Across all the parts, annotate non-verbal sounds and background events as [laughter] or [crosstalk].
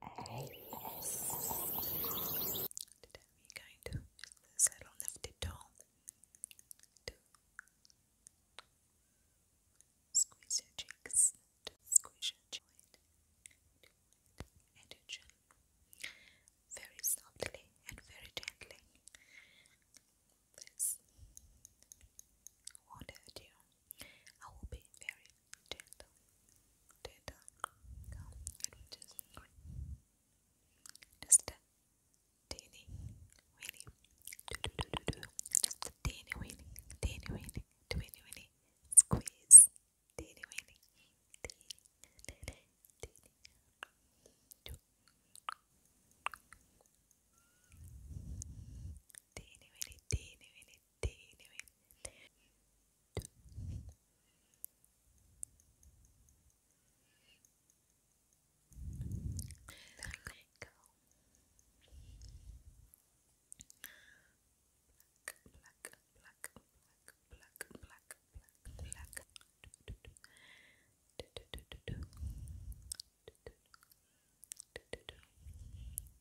Today we're going to use nifty tool squeeze your cheeks, squeeze your chin, and your chin very softly and very gently. Please won't hurt you. I will be very gentle, gentle. just just a teeny weeny, do do do do do, just a teeny weeny, teeny weeny, teeny weeny, squeeze, teeny weeny, teeny, teeny, teeny, do. Teeny, weeny, teeny, weeny, doing? There Black, black, black, black, black, black, black. do do do do do do do do do do do do do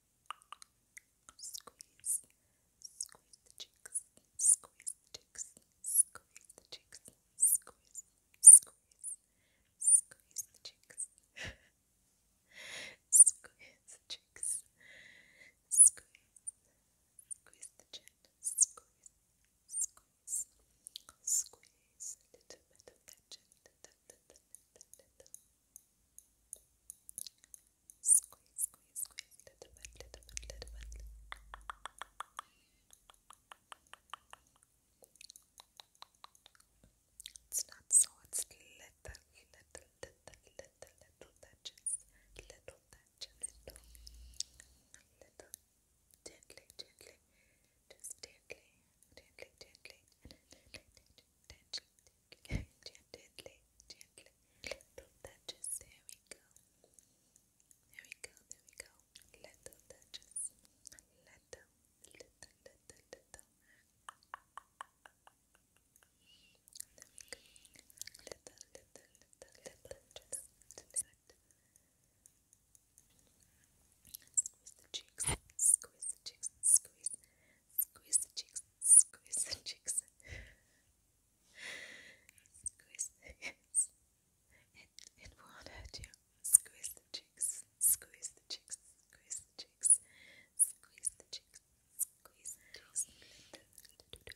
Squeeze, squeeze the cheeks, squeeze cheeks, squeeze the cheeks, squeeze, squeeze, squeeze the cheeks, [laughs] squeeze cheeks, squeeze, squeeze the chin, squeeze, squeeze, squeeze a little bit of that. Squeeze, squeeze, squeeze, little bit, little bit, little bit. It's not so, it's little, little, little, little, little touches, little touch, little, little, gently, gently, just gently, gently, gently, gently, gently, gently, gently, gently, little touches, there we go, there we go, there we go, little touches, little, little, little, little, there we go, little, little, little, little touches, squeeze the cheeks, squeeze the cheeks, squeeze, Squeeze the cheeks. Squeeze the cheeks. Squeeze the cheeks. It, it won't hurt you. Squeeze the cheeks. Squeeze the cheeks. Squeeze the cheeks. Squeeze the cheeks. Squeeze the cheeks. Squeeze the cheeks.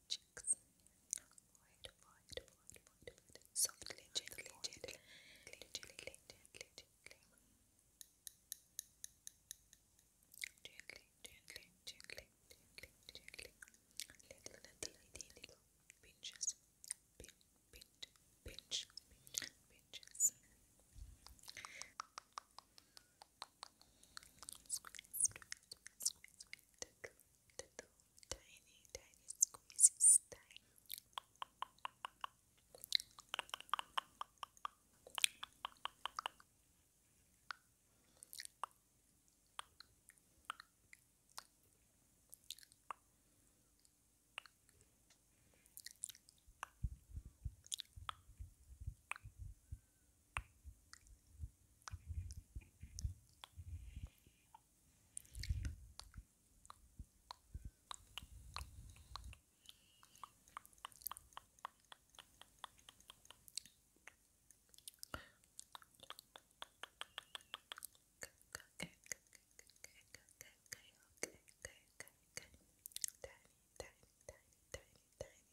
cheeks. Void, void, void, void, void. Softly, gently, gently, gently, gently, gently, gently. Gently, gently, gently, gently, gently. Little, little, little pinches. Pin, pin, pinch, pinch, pinches. Squeeze, squeeze, squeeze, squeeze, squeeze, little tiny, tiny squeezes time tiny, tiny, tiny, tiny,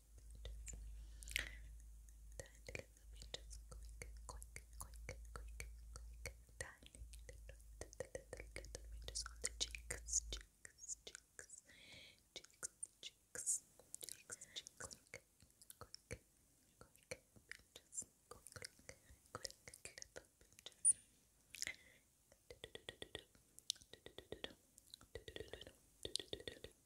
Tiny little pinches, quick, quick, quick, quick, quick. Tiny little, little, little, little pinches on the cheeks, cheeks, cheeks, cheeks, cheeks, cheeks, cheeks. Quick, quick, quick pinches, quick, quick, quick little pinches.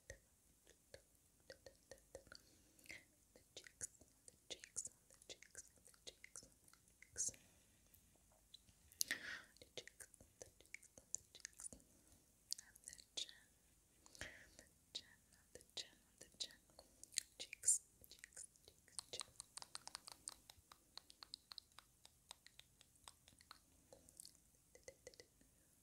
cheeks, on the cheeks, on the cheeks, on the cheeks, on the cheeks. The cheeks, on the cheeks, on the cheeks. And the chin. The chin, on the chin, on the chin. Cheeks, cheeks, cheeks, chin. The